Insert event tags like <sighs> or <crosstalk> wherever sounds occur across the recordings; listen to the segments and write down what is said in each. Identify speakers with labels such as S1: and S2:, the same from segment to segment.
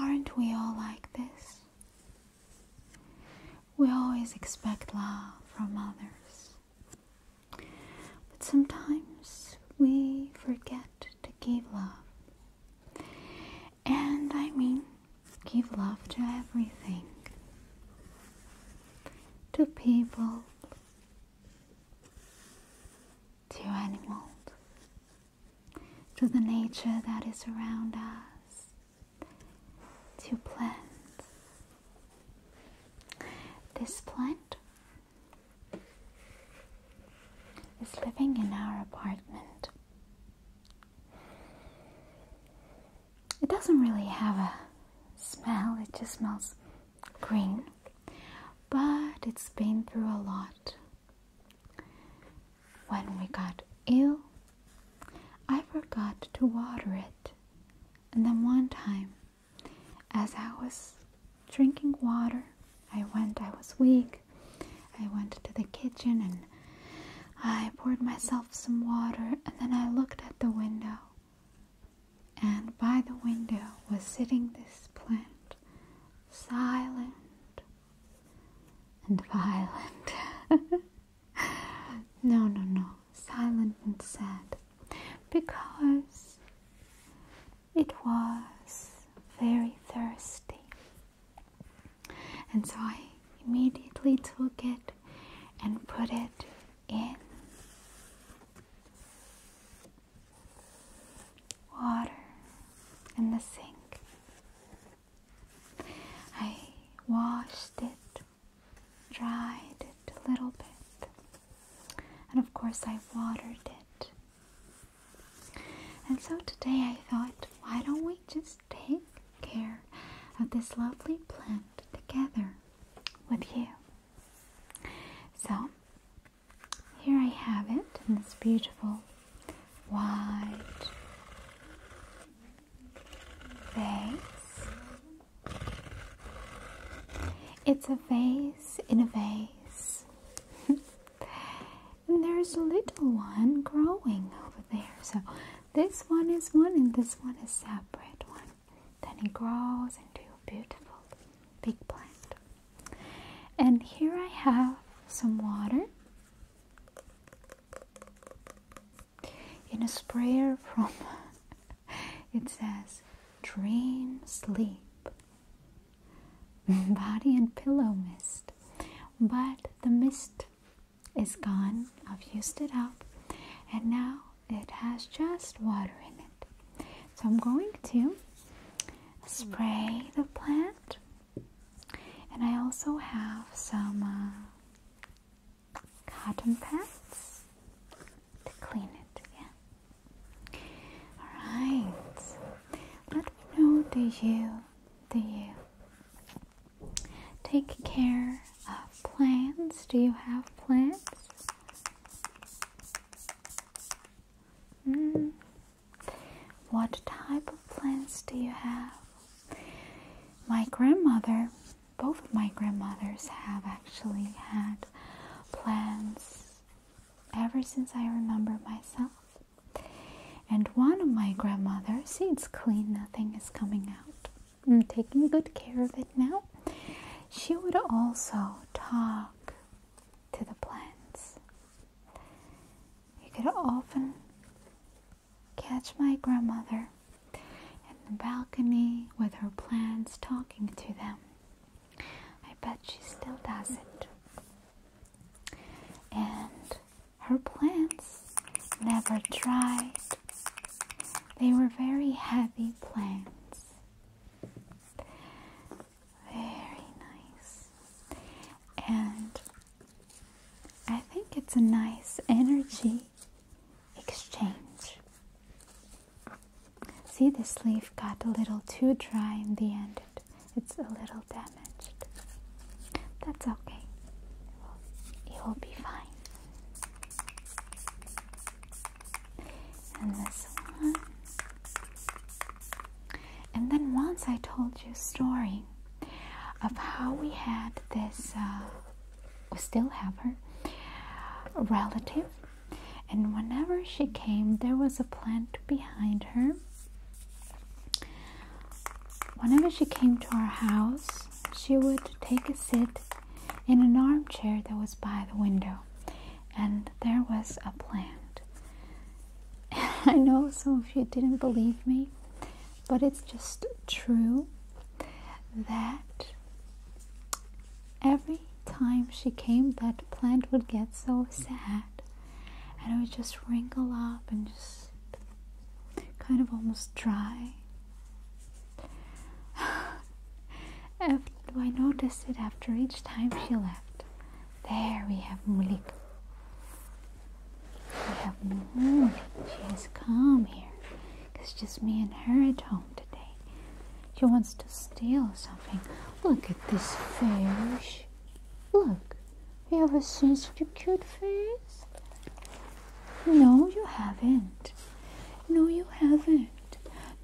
S1: Aren't we all like this? We always expect love from others, but sometimes we forget to give love. And I mean, give love to everything, to people, to animals, to the nature that is around us, to plants. This plant is living in our apartment. It doesn't really have a smell, it just smells green, but it's been through a lot. When we got ill, I forgot to water it. And then one time, as I was drinking water, I went, I was weak. I went to the kitchen and I poured myself some water, and then I looked at the window and by the window was sitting this plant, silent and violent. <laughs> no, no, no, silent and sad, because it was very thirsty. And so I immediately took it and put it in water in the sink. I washed it, dried it a little bit, and of course I watered it. And so today I thought, why don't we just take care of this lovely plant together with you? So here I have it in this beautiful white vase. It's a vase in a vase. <laughs> and there's a little one growing over there. So this one is one and this one is separate one. Then it grows into a beautiful big plant. And here I have some water in a sprayer from <laughs> it says Dream Sleep Body and Pillow Mist. But the mist is gone, I've used it up, and now it has just water in it. So I'm going to spray the plant, and I also have some uh, cotton pads to clean it. Yeah. All right. Let me know. Do you? Do you? Take care of plants. Do you have plants? Hmm. What type of plants do you have? My grandmother, both of my grandmothers have actually had plants ever since I remember myself. And one of my grandmothers, see it's clean, nothing is coming out. I'm taking good care of it now. She would also talk to the plants. You could often catch my grandmother in the balcony with her plants talking to them. I bet she still does it. And her plants never dried. They were very heavy plants. Very nice. And I think it's a nice energy exchange. See, this leaf got a little too dry in the end, it's a little damaged. That's okay, it it will be fine and this one. And then once I told you a story of how we had this, uh, we still have her, relative. And whenever she came, there was a plant behind her. Whenever she came to our house, she would take a seat in an armchair that was by the window and there was a plant. <laughs> I know some of you didn't believe me, but it's just true that every time she came, that plant would get so sad and it would just wrinkle up and just kind of almost dry. <sighs> Uh, do I notice it after each time she left. There we have Mulik. We have Mulik. She is calm here. It's just me and her at home today. She wants to steal something. Look at this fish. Look. You ever seen such a cute face? No, you haven't. No, you haven't.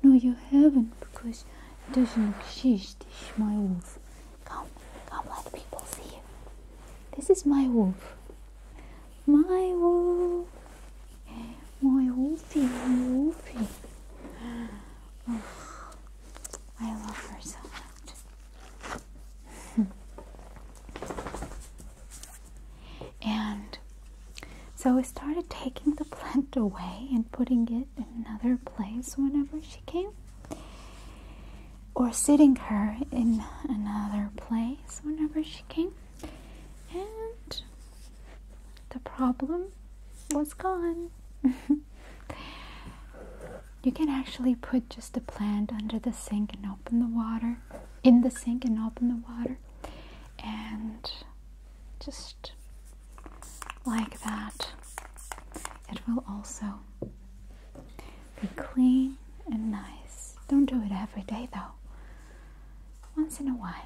S1: No, you haven't, because it doesn't exist. This is my wolf. Come, come, let people see you. This is my wolf. My wolf. My wolfie, my wolfie. <sighs> I love her <laughs> and so I started taking the plant away and putting it in another place whenever she came, or sitting her in another place whenever she came, and the problem was gone. <laughs> you can actually put just a plant under the sink and open the water, in the sink and open the water, and just like that. It will also be clean and nice. Don't do it every day though, once in a while.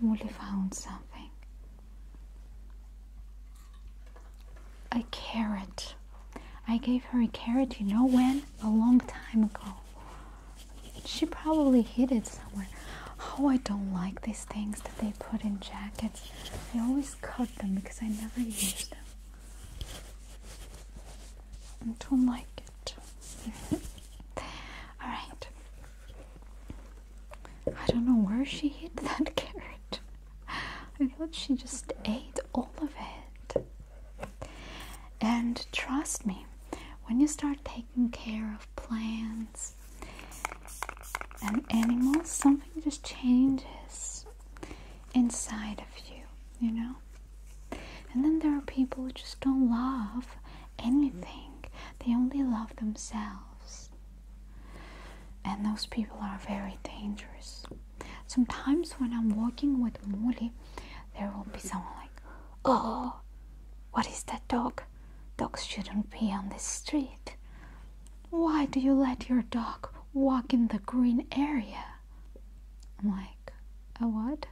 S1: Molly found something a carrot. I gave her a carrot, you know when? A long time ago. She probably hid it somewhere. Oh, I don't like these things that they put in jackets. I always cut them because I never use them. I don't like it. <laughs> Alright. I don't know where she hid that <laughs> carrot. I thought she just ate all of it. And trust me, when you start taking care of plants and animals, something just changes inside of you, you know? And then there are people who just don't love anything, they only love themselves. And those people are very dangerous. Sometimes when I'm walking with Molly, there will be someone like, Oh, what is that dog? Dogs shouldn't be on the street. Why do you let your dog walk in the green area? I'm like, a what?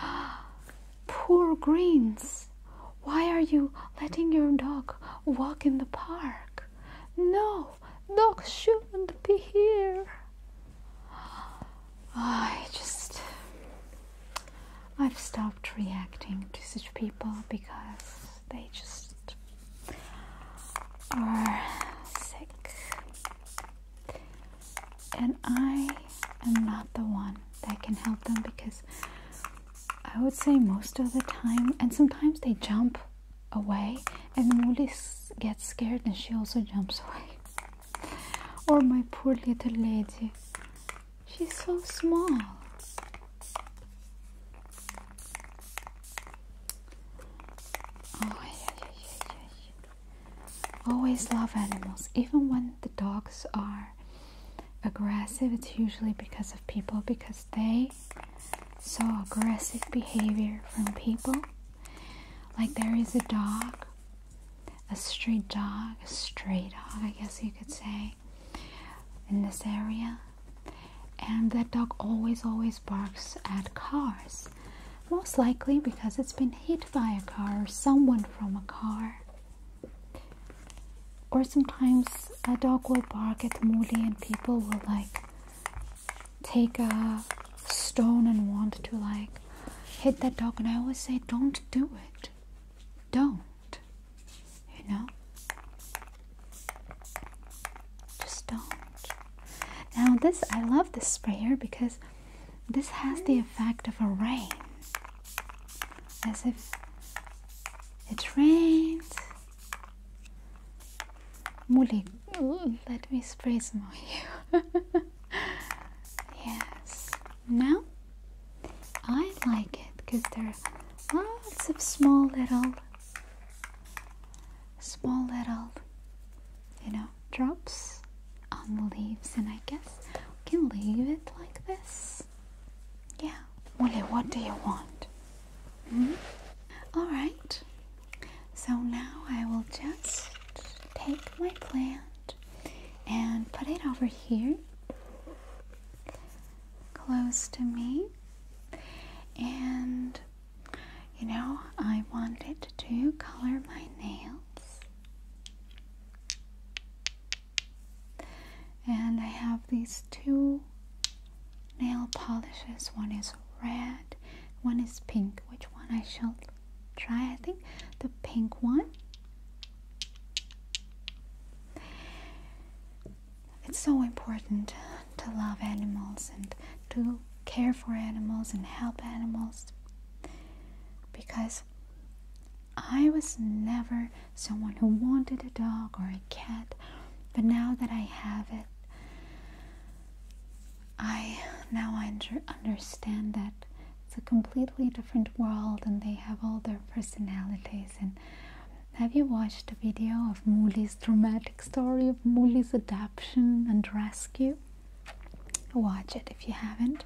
S1: <gasps> Poor greens. Why are you letting your dog walk in the park? No, dogs shouldn't be here. I just, I've stopped reacting to such people because they just are sick. And I am not the one that can help them because I would say most of the time, and sometimes they jump away, and Molly gets scared and she also jumps <laughs> away. Or oh, my poor little lady. She's so small. Oh, yeah, yeah, yeah, Always love animals. Even when the dogs are aggressive, it's usually because of people because they saw aggressive behavior from people. Like there is a dog a street dog, a stray dog, I guess you could say, in this area. And that dog always, always barks at cars. Most likely because it's been hit by a car or someone from a car. Or sometimes a dog will bark at Moody and people will like take a stone and want to like hit that dog and I always say don't do it. Don't. You know? Just don't. Now this I love this spray here because this has the effect of a rain. As if it rains. Muli, let me spray some on you. <laughs> yes. Now I like it because there are lots of small little, small little, you know, drops on the leaves, and I guess we can leave it like this. Yeah. Molly, what do you want? -hmm. All right. So now I will just take my plant and put it over here close to me. And you know, I wanted to color my nails. And I have these two nail polishes. One is red, one is pink. Which one I shall try I think the pink one it's so important to love animals and to care for animals and help animals because I was never someone who wanted a dog or a cat, but now that I have it, I now I understand that it's a completely different world and they have all their personalities and have you watched the video of Mooley's dramatic story of Mooley's adoption and rescue? Watch it if you haven't.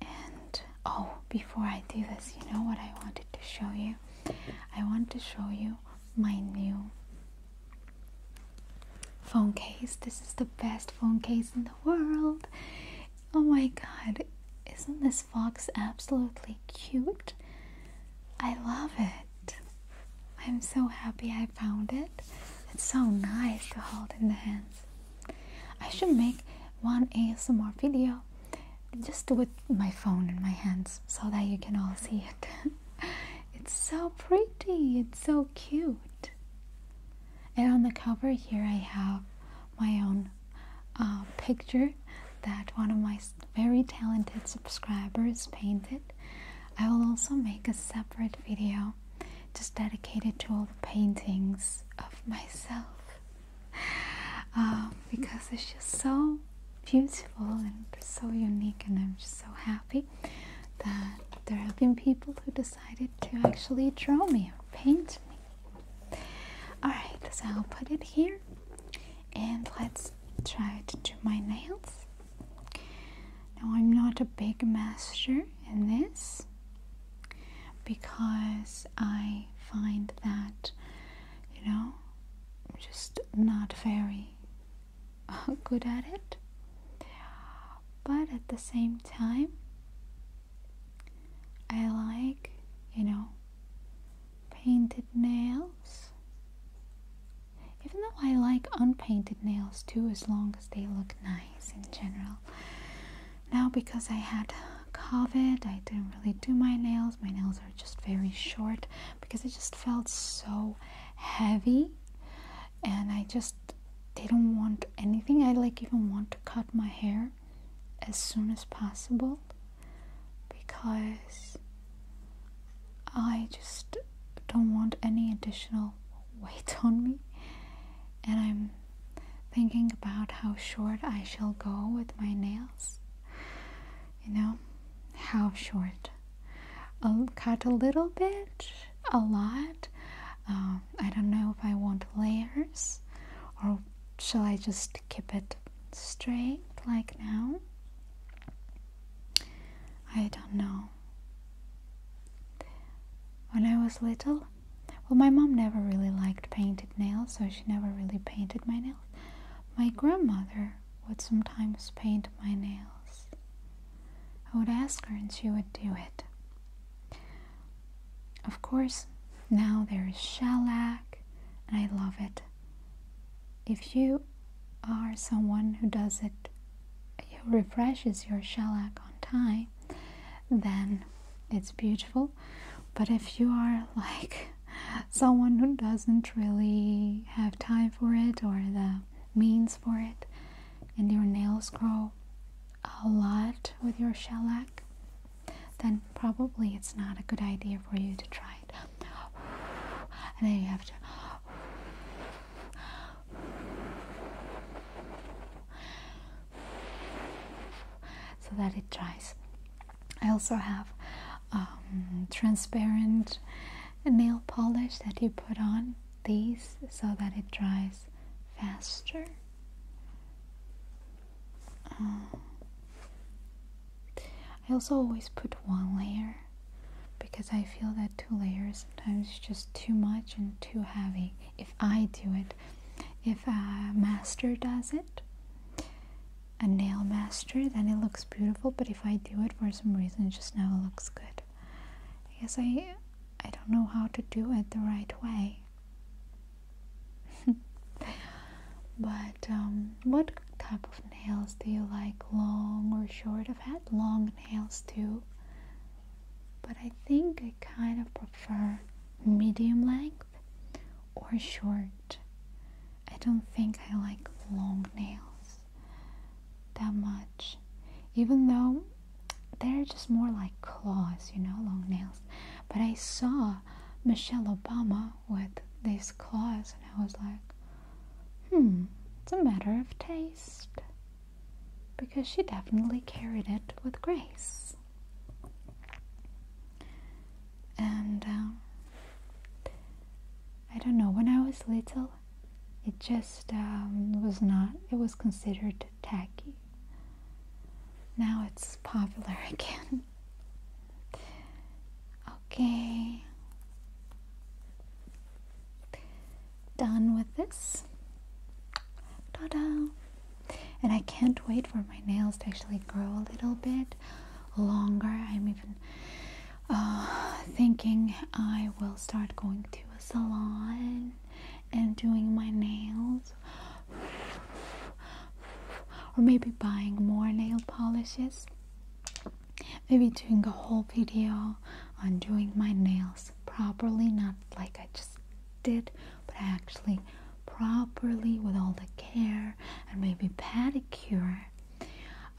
S1: And oh, before I do this, you know what I wanted to show you? I want to show you my new phone case. This is the best phone case in the world. Oh my god, isn't this fox absolutely cute? I love it. I'm so happy I found it. It's so nice to hold in the hands. I should make one ASMR video just with my phone in my hands so that you can all see it. <laughs> <laughs> it's so pretty, it's so cute. And on the cover here, I have my own uh, picture that one of my very talented subscribers painted. I will also make a separate video just dedicated to all the paintings of myself <laughs> uh, because it's just so beautiful and so unique and I'm just so happy that there have been people who decided to actually draw me or paint me. Alright, so I'll put it here and let's try to do my nails. Now, I'm not a big master in this because I find that, you know, I'm just not very good at it but at the same time I like you know painted nails even though I like unpainted nails too as long as they look nice in general now because I had COVID I didn't really do my nails my nails are just very short because it just felt so heavy and I just did not want anything. I like even want to cut my hair as soon as possible because I just don't want any additional <laughs> weight on me and I'm thinking about how short I shall go with my nails. You know, how short I'll um, cut a little bit, a lot. Um, I don't know if I want layers or shall I just keep it straight like now? I don't know. When I was little, well, my mom never really liked painted nails, so she never really painted my nails. My grandmother would sometimes paint my nails. I would ask her and she would do it. Of course, now there is shellac and I love it. If you are someone who does it, who refreshes your shellac on time, then it's beautiful. But if you are <laughs> like someone who doesn't really have time for it or the means for it, and your nails grow a lot with your shellac, then probably it's not a good idea for you to try it. And then you have to. So that it dries. I also have um, transparent a nail polish that you put on these so that it dries faster. Um, I also always put one layer because I feel that two layers sometimes is just too much and too heavy. If I do it, if a master does it, a nail master, then it looks beautiful. But if I do it for some reason, it just never looks good hard. I guess I don't know how to do it the right way. <laughs> but um, what type of nails do you like? Long or short? I've had long nails too, but I think I kind of prefer medium length or short. I don't think I like long nails that much. Even though they're just more like claws, you know, long nails. But I saw Michelle Obama with these claws and I was like, hmm, it's a matter of taste. Because she definitely carried it with grace. And um, I don't know, when I was little, it just um, was not, it was considered tacky. Now it's popular <laughs> again. okay. Done with this. Ta da! And I can't wait for my nails to actually grow a little bit longer. I'm even uh, thinking I will start going to a salon and doing my nails, or maybe buying more nail polishes. Maybe doing a whole video on doing my nails properly, not like I just did, but actually properly with all the care and maybe pedicure.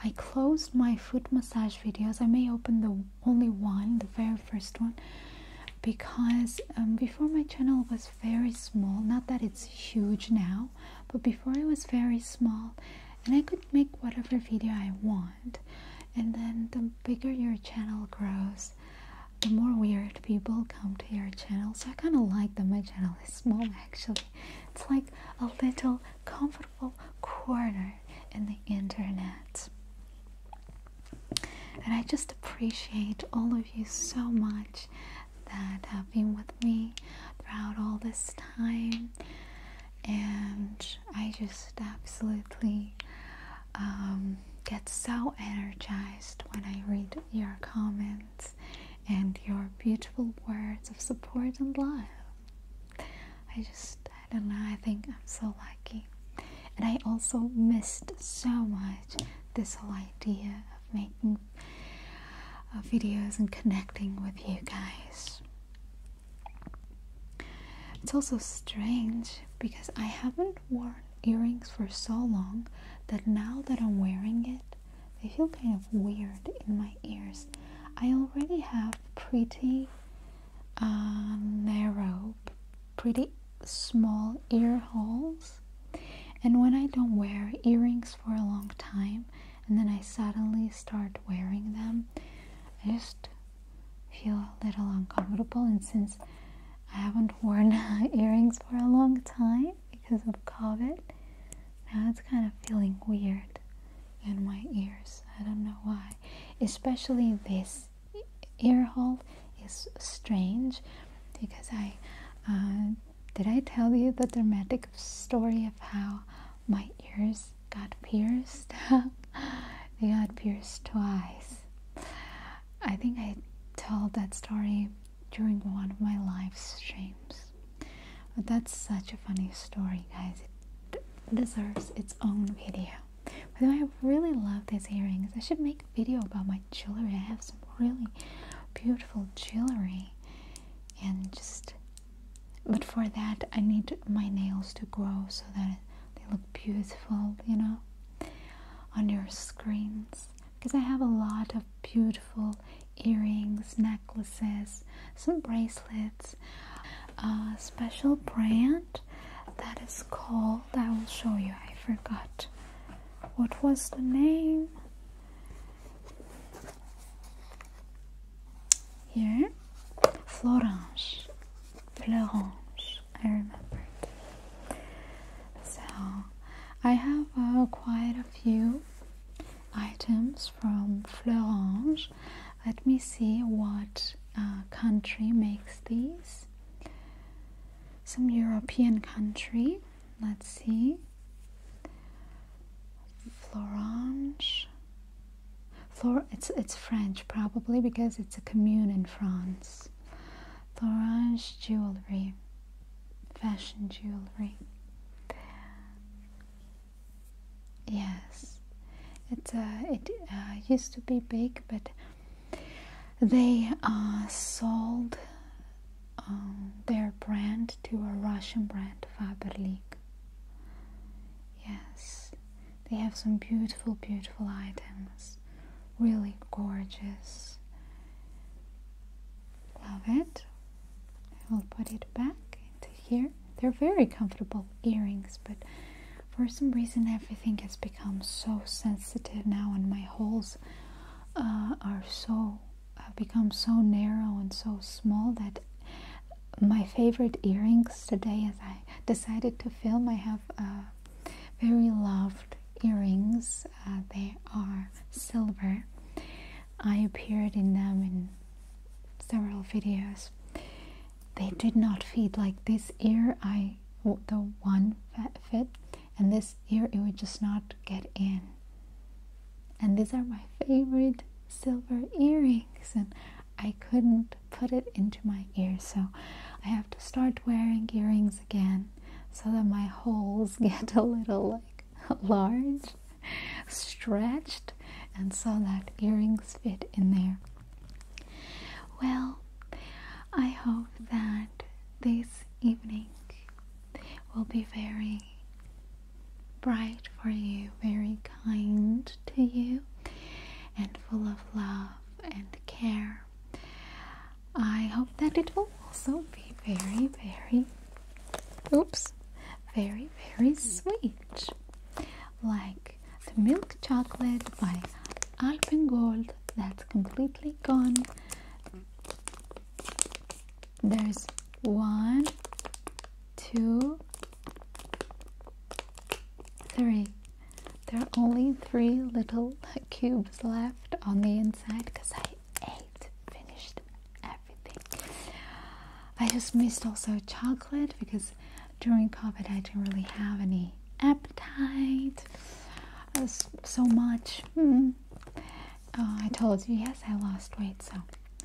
S1: I closed my foot massage videos. I may open the only one, the very first one, because um, before my channel was very small. Not that it's huge now, but before it was very small, and I could make whatever video I want. And then the bigger your channel grows, the more weird people come to your channel. So I kind of like that my channel is small actually. It's like a little comfort corner in the internet. And I just appreciate all of you so much that have been with me throughout all this time. And I just absolutely um, get so energized when I read your comments and your beautiful words of support and love. I just, I don't know, I think I'm so lucky. And I also missed so much this whole idea of making uh, videos and connecting with you guys. It's also strange because I haven't worn earrings for so long that now that I'm wearing it, they feel kind of weird in my ears I already have pretty uh, narrow, pretty small ear holes. And when I don't wear earrings for a long time and then I suddenly start wearing them, I just feel a little uncomfortable. And since I haven't worn <laughs> earrings for a long time because of COVID, now it's kind of feeling weird in my ears. I don't know why. Especially this ear hole is strange because I uh, did I tell you the dramatic story of how my ears got pierced? <laughs> they got pierced twice. I think I told that story during one of my live streams. But that's such a funny story, guys. It deserves its own video. By the way, I really love these earrings. I should make a video about my jewelry. I have some really beautiful jewelry. And just, but for that, I need my nails to grow so that they look beautiful, you know, on your screens. Because I have a lot of beautiful earrings, necklaces, some bracelets. A special brand that is called, I will show you, I forgot what was the name. Here, Florence. Florence, I remember. So, I have uh, quite a few items from Fleurange. Let me see what uh, country makes these. Some European country. Let's see. Florange. Flor it's it's French probably because it's a commune in France. Florange jewelry. Fashion jewelry. Yes, uh, it it uh, used to be big, but they uh, sold um, their brand to a Russian brand, Faberlic. Yes, they have some beautiful, beautiful items. Really gorgeous. Love it. I will put it back into here. They're very comfortable earrings, but for some reason everything has become so sensitive now, and my holes uh, are so have uh, become so narrow and so small that my favorite earrings today, as I decided to film, I have uh, very loved earrings. they are silver. I appeared in them in several videos. They did not fit like this ear. I the one fit, and this ear it would just not get in. And these are my favorite silver earrings, and I couldn't put it into my ear, so I have to start wearing earrings again so that my holes <laughs> get a little like large stretched and saw that earrings fit in there. Well, I hope that this evening will be very bright for you, very kind to you, and full of love and care. I hope that it will also be very, very Oops. Very, very sweet. Like the milk chocolate by Alpen Gold. that's completely gone. There's one, two, three. There are only three little <laughs> cubes left on the inside because I ate, finished everything. I just missed also chocolate because during COVID I didn't really have any appetite so much. Hmm. Uh, I told you, yes, I lost weight, so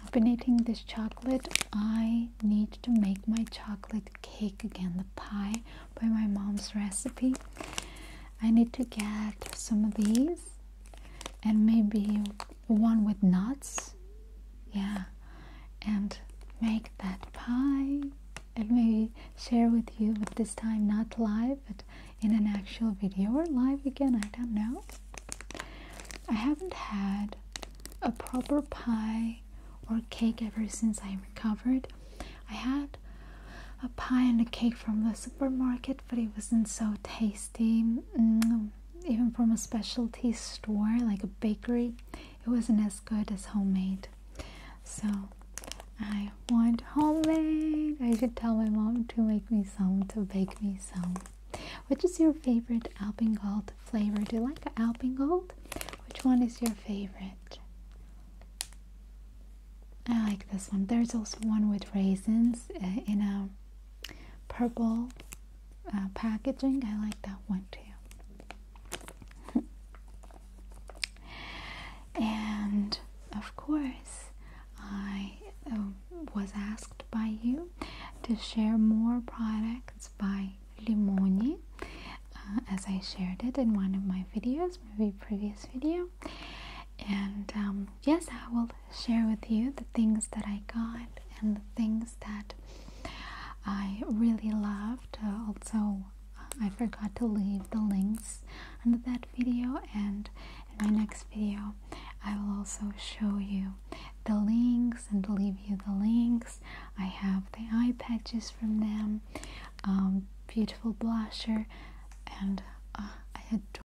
S1: I've been eating this chocolate. I need to make my chocolate cake again, the pie by my mom's recipe. I need to get some of these and maybe one with nuts yeah and make that pie and maybe share with you but this time not live but in an actual video or live again i don't know i haven't had a proper pie or cake ever since i recovered i had a pie and a cake from the supermarket but it wasn't so tasty mm, even from a specialty store like a bakery, it wasn't as good as homemade. So I want homemade. I should tell my mom to make me some, to bake me some. Which is your favorite Alpen Gold flavor? Do you like Alpen Gold? Which one is your favorite? I like this one. There's also one with raisins uh, in a purple uh, packaging. I like that one too. <laughs> and of course, I uh, was asked by you to share more products by Limoni uh, as I shared it in one of my videos, maybe previous video. And um, yes, I will share with you the things that I got and the things that I really loved. Uh, also, I forgot to leave the links under that video, and in my next video, I will also show you the links and leave you the links. I have the eye patches from them, um, beautiful blusher, and uh, I adore